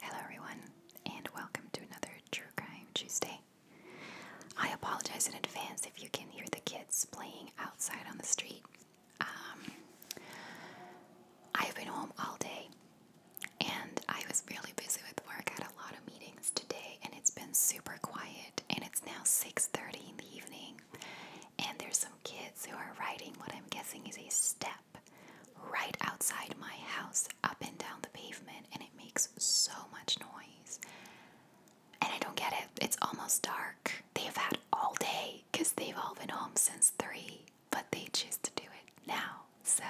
Hello, everyone, and welcome to another True Crime Tuesday. I apologize in advance if you can hear the kids playing outside on the street. Um, I've been home all day and I was really busy with work. I had a lot of meetings today and it's been super quiet and it's now 6:30 in the evening and there's some kids who are riding what I'm guessing is a step right outside my house, up and down the pavement, and it makes so much noise. And I don't get it. It's almost dark. They've had all day because they've all been home since three, but they choose to do it now. So,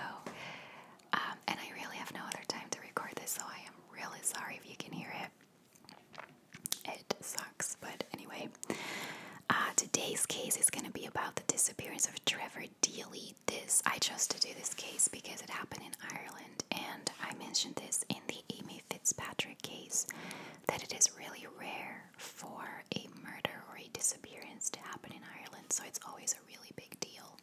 um, and I really have no other time to record this, so I am really sorry if you can hear it. It sucks, but anyway. Uh, today's case is going to be about the disappearance of Trevor Deely. This I chose to do this case because it happened in Ireland, and I mentioned this in the Amy Fitzpatrick case that it is really rare for a murder or a disappearance to happen in Ireland, so it's always a really big deal.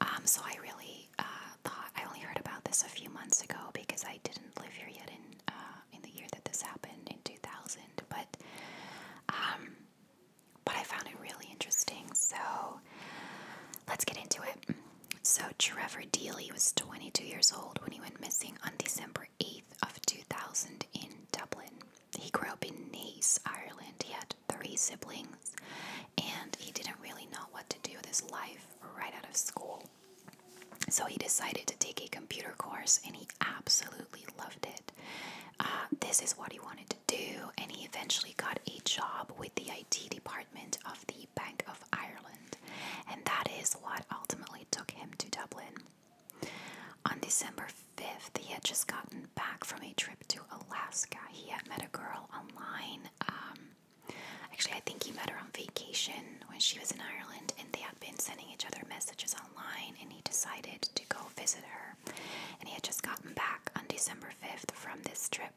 Um, so I really uh, I only heard about this a few months ago because I didn't live here yet in uh, in the year that this happened in 2000. But um, but I found it really interesting. So let's get into it. So Trevor Deely was 22 years old when he went missing on December 8th of 2000 in Dublin. He grew up in Naas, Ireland. He had three siblings, and he didn't really know what to do with his life right out of school. So he decided to take a computer course and he absolutely loved it. Uh, this is what he wanted to do, and he eventually got a job with the IT department of the Bank of Ireland, and that is what ultimately took him to Dublin. On December 5th, he had just gotten back from a trip to Alaska. He had met a girl online. Um, Actually, I think he met her on vacation when she was in Ireland, and they had been sending each other messages online, and he decided to go visit her. And he had just gotten back on December 5th from this trip.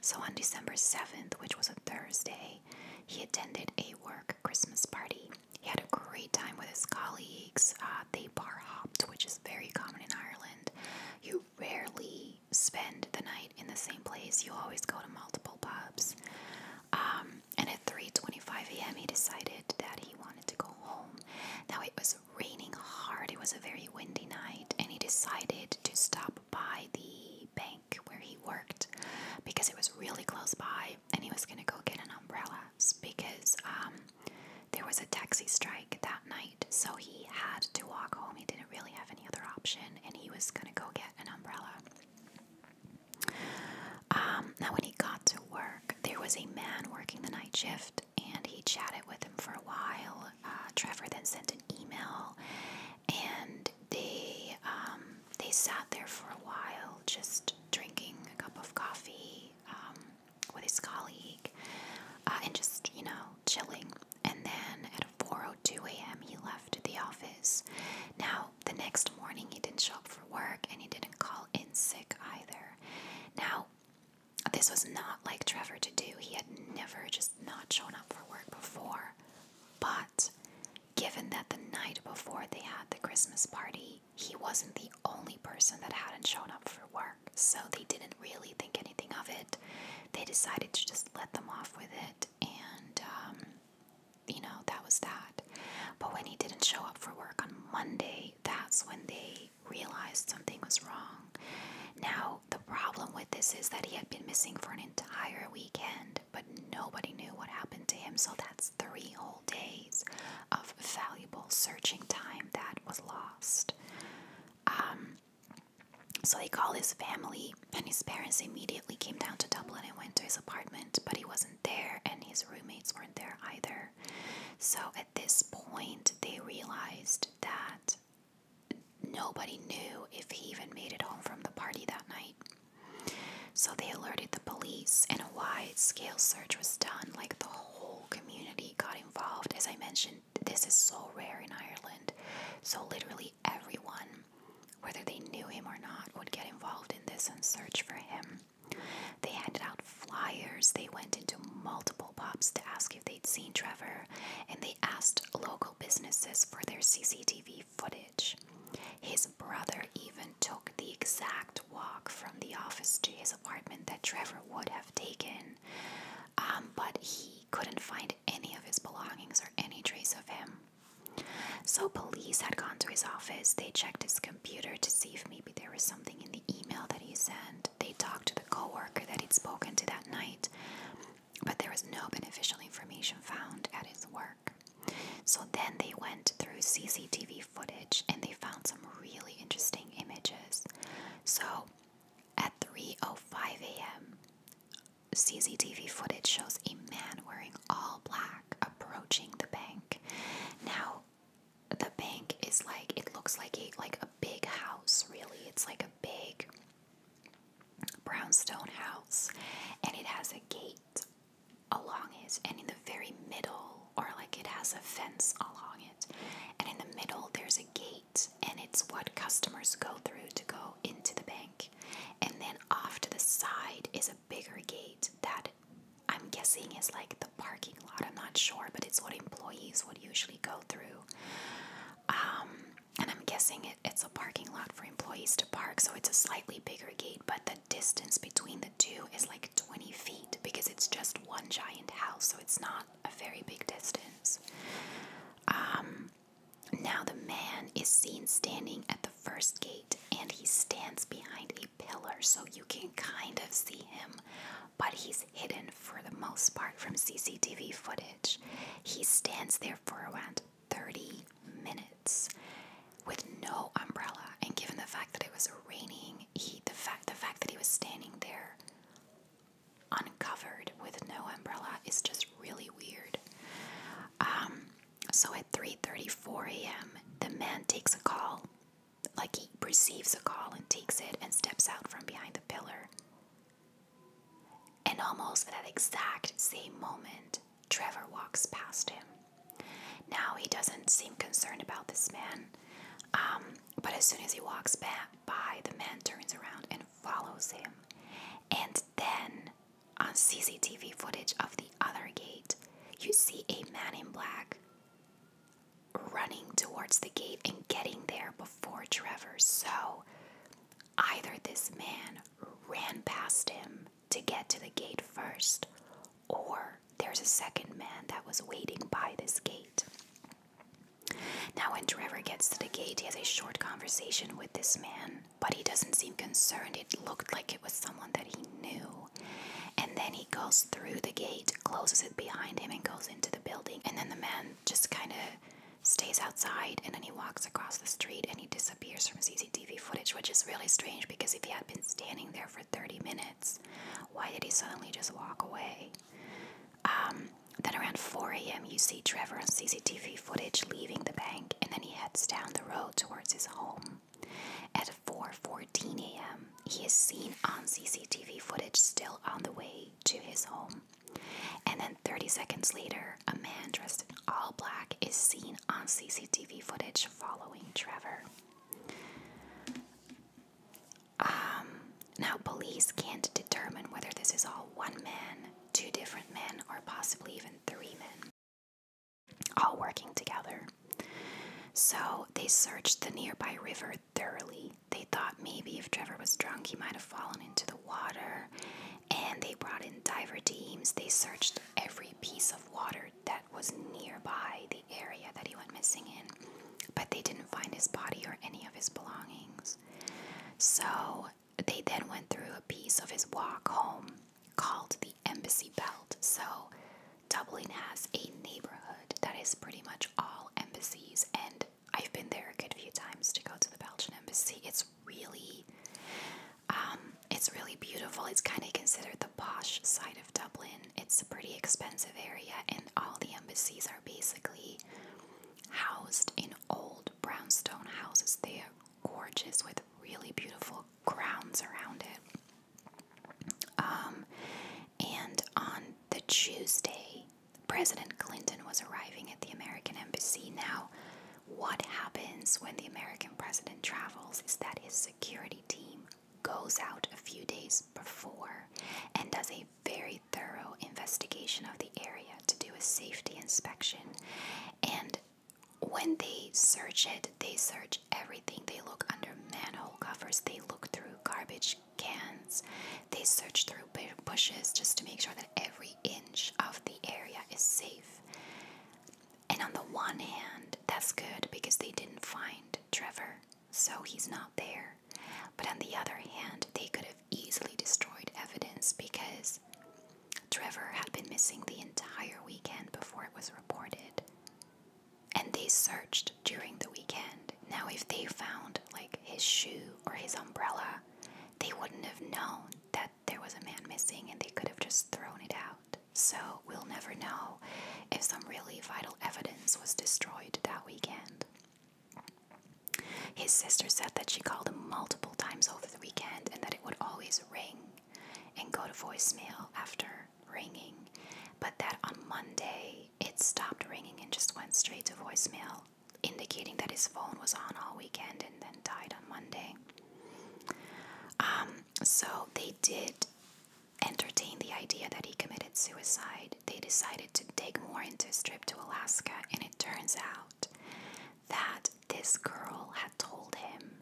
So on December 7th, which was a Thursday, he attended a work Christmas party. He had a great time with his colleagues. Uh, they bar hopped, which is very common in Ireland. You rarely spend the night in the same place. You always go to multiple pubs. Um, and at 3:25 a.m., he decided that he wanted to go home. Now it was raining hard. It was a very windy night, and he decided to stop by the bank where he worked because it was really close by, and he was gonna go get an umbrella because um, there was a taxi strike that night. So he had to walk home. He didn't really have any other option, and he was gonna go get an umbrella. Um, now, when he got to work, there was a man working the night shift, and he chatted with him for a while. Uh, Trevor then sent an email, and they um, they sat there for a while, just drinking a cup of coffee um, with his colleague, uh, and just you know chilling and then at 4:02 a.m. he left the office. Now, the next morning he didn't show up for work and he didn't call in sick either. Now, this was not like Trevor to do. He had never just not shown up for work before. But given that the night before they had the Christmas party, he wasn't the only person that hadn't shown up for work. So they didn't really think anything of it. They decided to just let them off with it and um, you know, that was that. But when he didn't show up for work on Monday, that's when they realized something was wrong. Now, the problem with this is that he had been missing for an entire weekend, but nobody knew what happened to him, so that's three whole days of valuable searching time that was lost. Um, so he called his family, and his parents immediately came down to Dublin and went to his apartment, but he wasn't there, and his roommates weren't there either. So at this point, they realized that nobody knew if he even made it home from the party that night. So they alerted the police, and a wide scale search was done. Like the whole community got involved. As I mentioned, this is so rare in Ireland. So literally everyone whether they knew him or not, would get involved in this and search for him. They handed out flyers, they went into multiple pubs to ask if they'd seen Trevor, and they asked local businesses for their CCTV footage. His brother even took the exact walk from the office to his apartment that Trevor would have taken, um, but he couldn't find any of his belongings or any trace of him. So, police had gone to his office. They checked his computer to see if maybe there was something in the email that he sent. They talked to the coworker that he'd spoken to that night, but there was no beneficial information found at his work. So, then they went through CCTV footage and they found some really interesting images. So, at three oh five a.m., CCTV footage shows a man wearing all black approaching the bank. Now, the bank is like it looks like a like a big house. Really, it's like a big brownstone house, and it has a gate along it, and in the very middle, or like it has a fence along it, and in the middle there's a gate and it's what customers go through to go into the bank. And then off to the side is a bigger gate that I'm guessing is like the parking lot. I'm not sure, but it's what employees would usually go through. Um, and I'm guessing it's a parking lot for employees to park, so it's a slightly bigger gate, but the distance between the two is like 20 feet because it's just one giant house, so it's not a very big distance. Um, now the man is seen standing at the first gate and he stands behind a pillar, so you can kind of see him, but he's hidden for the most part from CCTV footage. He stands there for around 30 minutes with no umbrella, and given the fact that it was raining, he the fact the fact that he was standing there uncovered with no umbrella is just really weird. Um, so at 3:34 a.m., the man takes a call, like he receives a call and takes it and steps out from behind the pillar. And almost at that exact same moment, Trevor walks past him. Now he doesn't seem concerned about this man, um, but as soon as he walks by, the man turns around and follows him. And then on CCTV footage of the other gate, you see a man in black running towards the gate and getting there before Trevor. So either this man ran past him to get to the gate first, or there's a second man that was waiting by this gate. Now, when Trevor gets to the gate, he has a short conversation with this man, but he doesn't seem concerned. It looked like it was someone that he knew. And then he goes through the gate, closes it behind him, and goes into the building. And then the man just kind of stays outside and then he walks across the street and he disappears from CCTV footage, which is really strange because if he had been standing there for 30 minutes, why did he suddenly just walk away? Um, then around 4 a.m., you see Trevor on CCTV footage leaving the bank, and then he heads down the road towards his home. At 4:14 a.m., he is seen on CCTV footage still on the way to his home. And then 30 seconds later, a man dressed in all black is seen on CCTV footage following Trevor. Um, now, police can't determine whether this is all one man two different men, or possibly even three men, all working together. So they searched the nearby river thoroughly. They thought maybe if Trevor was drunk, he might have fallen into the water. And they brought in diver teams. They searched every piece of water that was nearby the area that he went missing in. But they didn't find his body or any of his belongings. So they then went through a piece of his walk home called the Embassy Belt. So, Dublin has a neighborhood that is pretty much all embassies, and I've been there a good few times to go to the Belgian embassy. It's really, um, it's really beautiful. It's kind of considered the posh side of Dublin. It's a pretty expensive area, and all the embassies are basically housed in old brownstone houses they're gorgeous with really beautiful grounds around it. Um, and on the Tuesday, President Clinton was arriving at the American embassy. Now, what happens when the American president travels is that his security team goes out a few days before and does a very thorough investigation of the area to do a safety inspection. And when they search it, they search everything. They look under manhole covers, they look through garbage cans, they search through bushes just to make sure that every inch of the area is safe. And on the one hand, that's good because they didn't find Trevor, so he's not there. But on the other hand, they could have easily destroyed evidence because Trevor had been missing the entire weekend before it was reported. And they searched during the weekend. Now, if they found like his shoe or his umbrella, they wouldn't have known that there was a man missing and they could have just thrown it out. So, we'll never know if some really vital evidence was destroyed that weekend. His sister said that she called him multiple times over the weekend and that it would always ring and go to voicemail after ringing, but that on Monday it stopped ringing and just went straight to voicemail, indicating that his phone was on all weekend and then died on Monday. Um, so they did entertain the idea that he committed suicide. They decided to dig more into his trip to Alaska, and it turns out that this girl had told him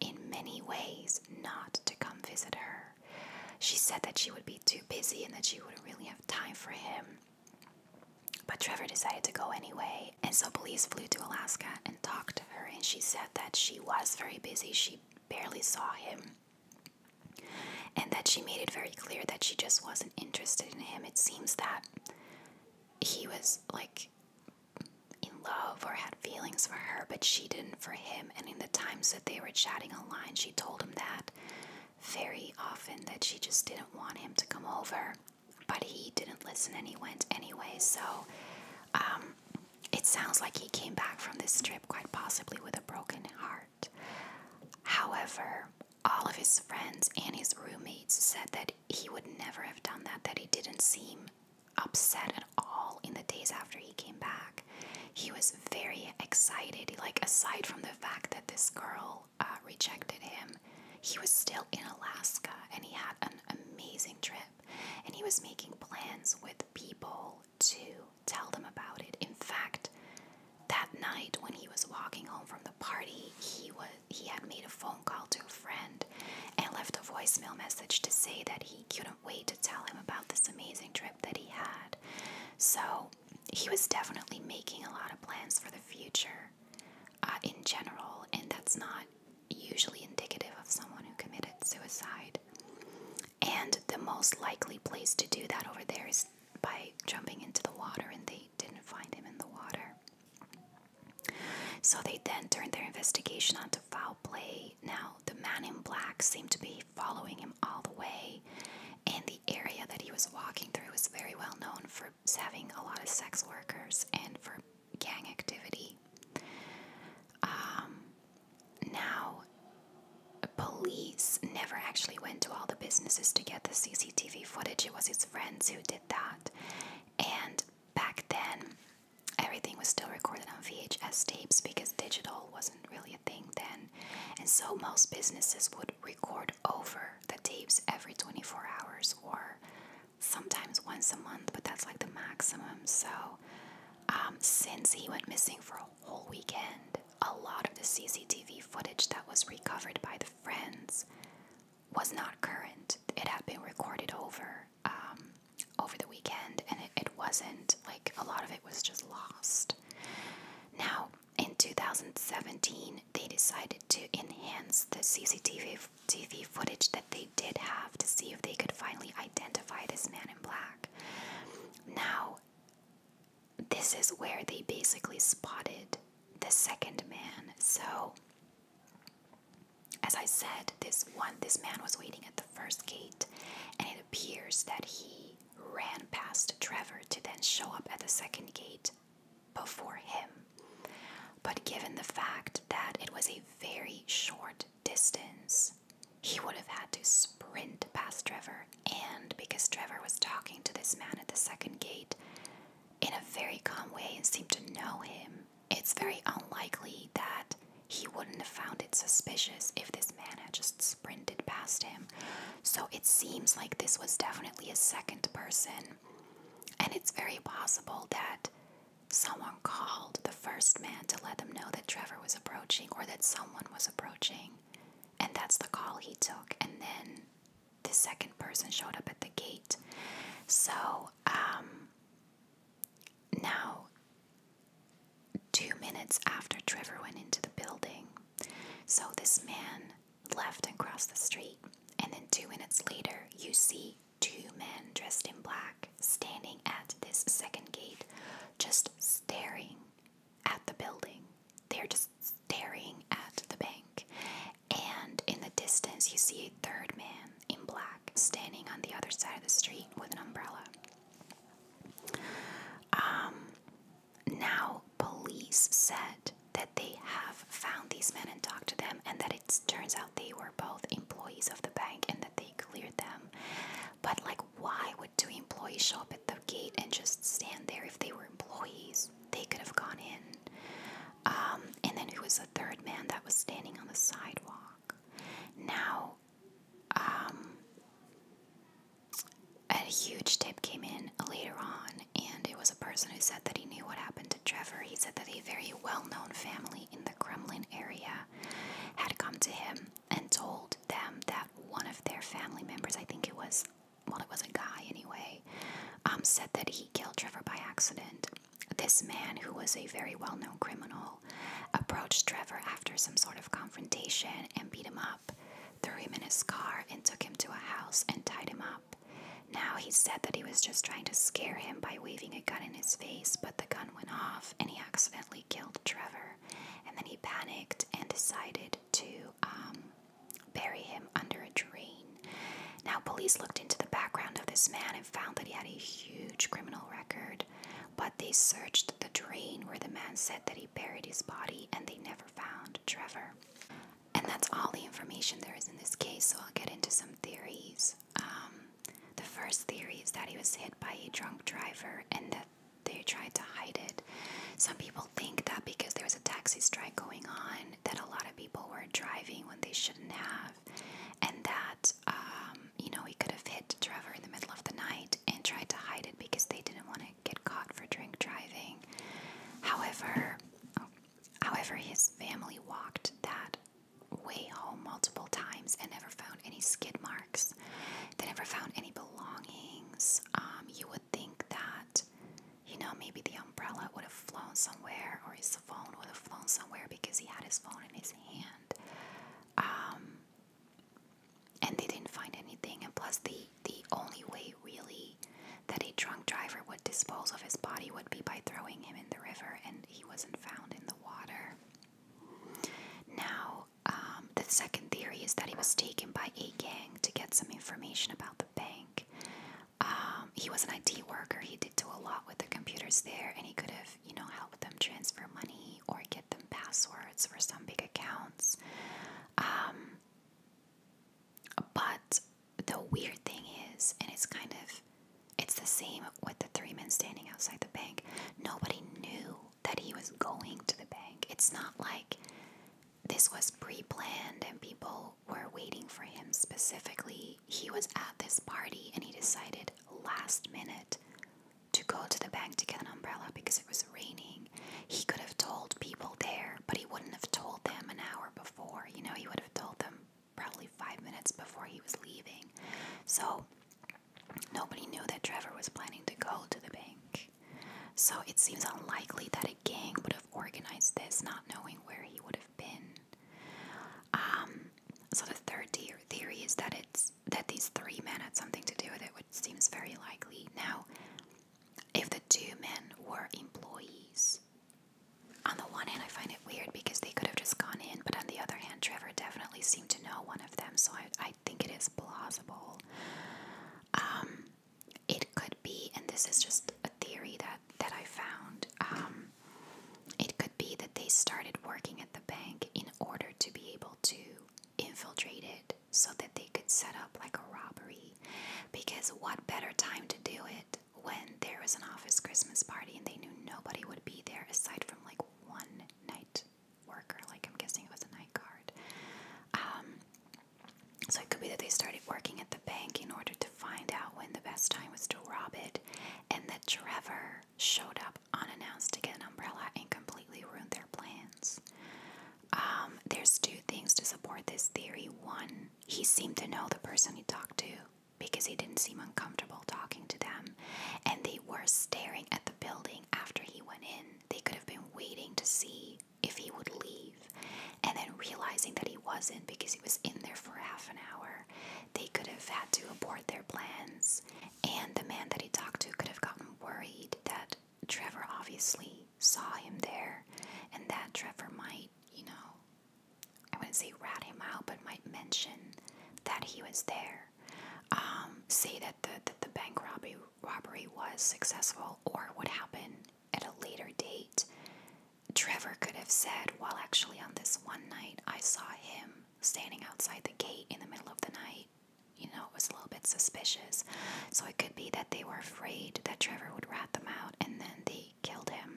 in many ways not to come visit her. She said that she would be too busy and that she wouldn't really have time for him. But Trevor decided to go anyway, and so police flew to Alaska and talked to her, and she said that she was very busy. She barely saw him and that she made it very clear that she just wasn't interested in him. It seems that he was like in love or had feelings for her, but she didn't for him. And in the times that they were chatting online, she told him that very often that she just didn't want him to come over. But he didn't listen and he went anyway. So um, it sounds like he came back from this trip quite possibly with a broken heart. However, all of his friends and his roommates said that he would never have done that, that he didn't seem upset at all in the days after he came back. He was very excited. Like, aside from the fact that this girl uh, rejected him, he was still in Alaska and he had an amazing trip. And he was making plans with people to tell them about it. In fact, that night, when he was walking home from the party, he was he had made a phone call to a friend and left a voicemail message to say that he couldn't wait to tell him about this amazing trip that he had. So he was definitely making a lot of plans for the future uh, in general, and that's not usually indicative of someone who committed suicide. And the most likely place to do that over there is by jumping into the water, and they didn't find him in the water. So they then turned their investigation onto foul play. Now, the man in black seemed to be following him all the way, and the area that he was walking through was very well known for having a lot of sex workers and for gang activity. Um, now, police never actually went to all the businesses to get the CCTV footage. It was his friends who did that. And back then, everything was still recorded on VHS tapes because digital wasn't really a thing then. And so most businesses would record over the tapes every 24 hours or sometimes once a month, but that's like the maximum. So um, since he went missing for a whole weekend, a lot of the CCTV footage that was recovered by the friends was not current. It had been recorded over um, over the weekend, and it, it wasn't like a lot of it was just lost. Now, in 2017, they decided to enhance the CCTV TV footage that they did have to see if they could finally identify this man in black. Now, this is where they basically spotted the second man. So, as I said, this one, this man was waiting at the first gate, and it appears that he ran past Trevor to then show up at the second gate before him. But given the fact that it was a very short distance, he would have had to sprint past Trevor and because Trevor was talking to this man at the second gate in a very calm way and seemed to know him, it's very unlikely that he wouldn't have found it suspicious if this man had just sprinted past him. So it seems like this was definitely a second person, and it's very possible that someone called the first man to let them know that Trevor was approaching or that someone was approaching. And that's the call he took. And then the second person showed up at the gate. So um, now, two minutes after Trevor went into the building, so this man left and crossed the street. And then two minutes later, you see two men dressed in black standing at this second gate, just staring at the building. They're just staring at the bank. And in the distance, you see a third man in black standing on the other side of the street with an umbrella. Um, now, police said that they have found these men and talked to them, and that it turns out they were both employees of the bank and that they cleared them. But, like, why would two employees show up at the gate and just stand there if they were? employees, they could have gone in. Um, and then it was the third man that was standing on the sidewalk? Now, um, a huge tip came in later on, and it was a person who said that he knew what happened to Trevor. He said that a very well known family in the Kremlin area had come to him and told them that one of their family members, I think it was well, it was a guy anyway, um, said that he killed Trevor by accident. This man, who was a very well known criminal, approached Trevor after some sort of confrontation and beat him up, threw him in his car, and took him to a house and tied him up. Now he said that he was just trying to scare him by waving a gun in his face, but the gun went off and he accidentally killed Trevor. And then he panicked and decided to um, bury him under a drain. Now, police looked into the background of this man and found that he had a huge criminal record, but they searched the drain where the man said that he buried his body and they never found Trevor. And that's all the information there is in this case, so I'll get into some theories. Um, the first theory is that he was hit by a drunk driver, and the they tried to hide it. Some people think that because there was a taxi strike going on, that a lot of people were driving when they shouldn't have, and that um, you know he could have hit Trevor in the middle of the night and tried to hide it because they didn't want to get caught for drink driving. However, however, his family walked that way home multiple times and never found any skid marks. They never found any belongings. Um, you would would think that, you know, maybe the umbrella would have flown somewhere or his phone would have flown somewhere because he had his phone in his hand. Um, and they didn't find anything. And plus, the, the only way really that a drunk driver would dispose of his body would be by throwing him in the river, and he wasn't found in the water. Now, um, the second theory is that he was taken by a gang to get some information about the bank. Um, he was an IT worker. He did do a lot with the computers there, and he could have, you know, helped them transfer money or get them passwords for some big accounts. Um, but the weird thing is, and it's kind of, it's the same with the three men standing outside the bank. Nobody knew that he was going to the bank. It's not like this was pre planned and people were waiting for him specifically. He was at this party and he decided last minute to go to the bank to get an umbrella because it was raining. He could have told people there, but he wouldn't have told them an hour before. You know, he would have told them probably five minutes before he was leaving. So nobody knew that Trevor was planning to go to the bank. So it seems unlikely that a gang would have organized this, not knowing where he would have been. Um, so the third theory is that it's that these three men had something to do with it, which seems very likely. Now, if the two men were employees, on the one hand, I find it weird because they could have just gone in, but on the other hand, Trevor definitely seemed to know one of them, so I, think it is plausible. Um, it could be, and this is just a theory that that I found. Um, it could be that they started working at the bank in order to be able to infiltrate it, so that they could set up like a robbery. Because what better time to do it when there was an office Christmas party and they knew nobody would be there aside from like one night worker. Like I'm guessing it was a night guard. Um, so it could be that they started working at the bank in order to find out when the best time was to rob it, and that Trevor showed up unannounced to get an umbrella and completely ruined their plans. Um, there's two things to support this theory. One, he seemed to know the person he talked to because he didn't seem uncomfortable talking to them, and they were staring at the building after he went in. They could have been waiting to see if he would leave and then realizing that he wasn't because he was in there for half an hour they could have had to abort their plans and the man that he talked to could have gotten worried that Trevor obviously saw him there and that Trevor might you know I wouldn't say rat him out but might mention that he was there um, say that the, that the bank robbery robbery was successful or would happen at a later date, Trevor could have said, Well, actually, on this one night, I saw him standing outside the gate in the middle of the night. You know, it was a little bit suspicious. So it could be that they were afraid that Trevor would rat them out and then they killed him.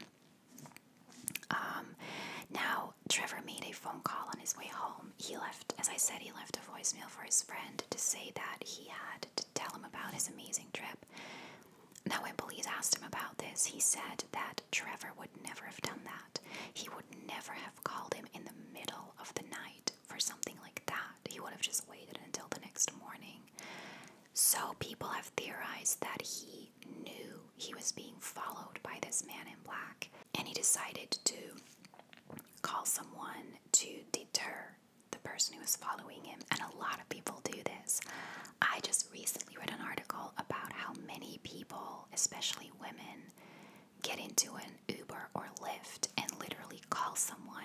Um, now, Trevor made a phone call on his way home. He left, as I said, he left voicemail for his friend to say that he had to tell him about his amazing trip. Now, when police asked him about this, he said that Trevor would never have done that. He would never have called him in the middle of the night for something like that. He would have just waited until the next morning. So, people have theorized that he knew he was being followed by this man in black and he decided to call someone to deter the person who is following him. And a lot of people do this. I just recently read an article about how many people, especially women, get into an Uber or Lyft and literally call someone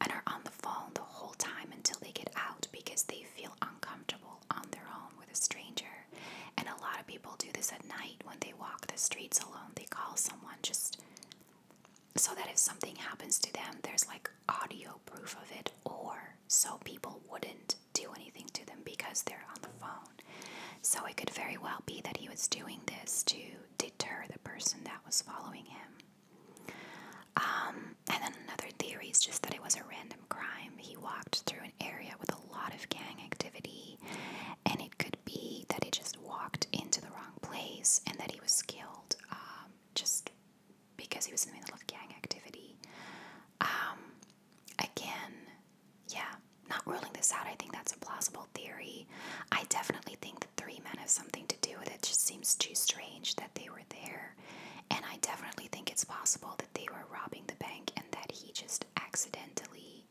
and are on the phone the whole time until they get out because they feel uncomfortable on their own with a stranger. And a lot of people do this at night when they walk the streets alone. They call someone just so that if something happens to them, there's like audio proof of it, or so people wouldn't do anything to them because they're on the phone. So it could very well be that he was doing this to deter the person that was following him. Um, and then another theory is just that it was a random crime. He walked through an area with a lot of gang activity and could be that he just walked into the wrong place and that he was killed um, just because he was in the middle of gang activity. Um, again, yeah, not ruling this out. I think that's a plausible theory. I definitely think the three men have something to do with It just seems too strange that they were there. And I definitely think it's possible that they were robbing the bank and that he just accidentally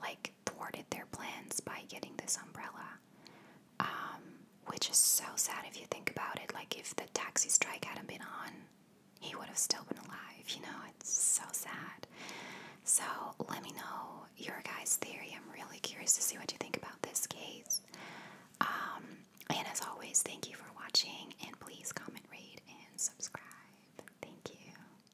like thwarted their plans by getting this umbrella. Um, which is so sad if you think about it. Like, if the taxi strike hadn't been on, he would have still been alive. You know, it's so sad. So, let me know your guys' theory. I'm really curious to see what you think about this case. Um, and as always, thank you for watching. And please comment, rate, and subscribe. Thank you.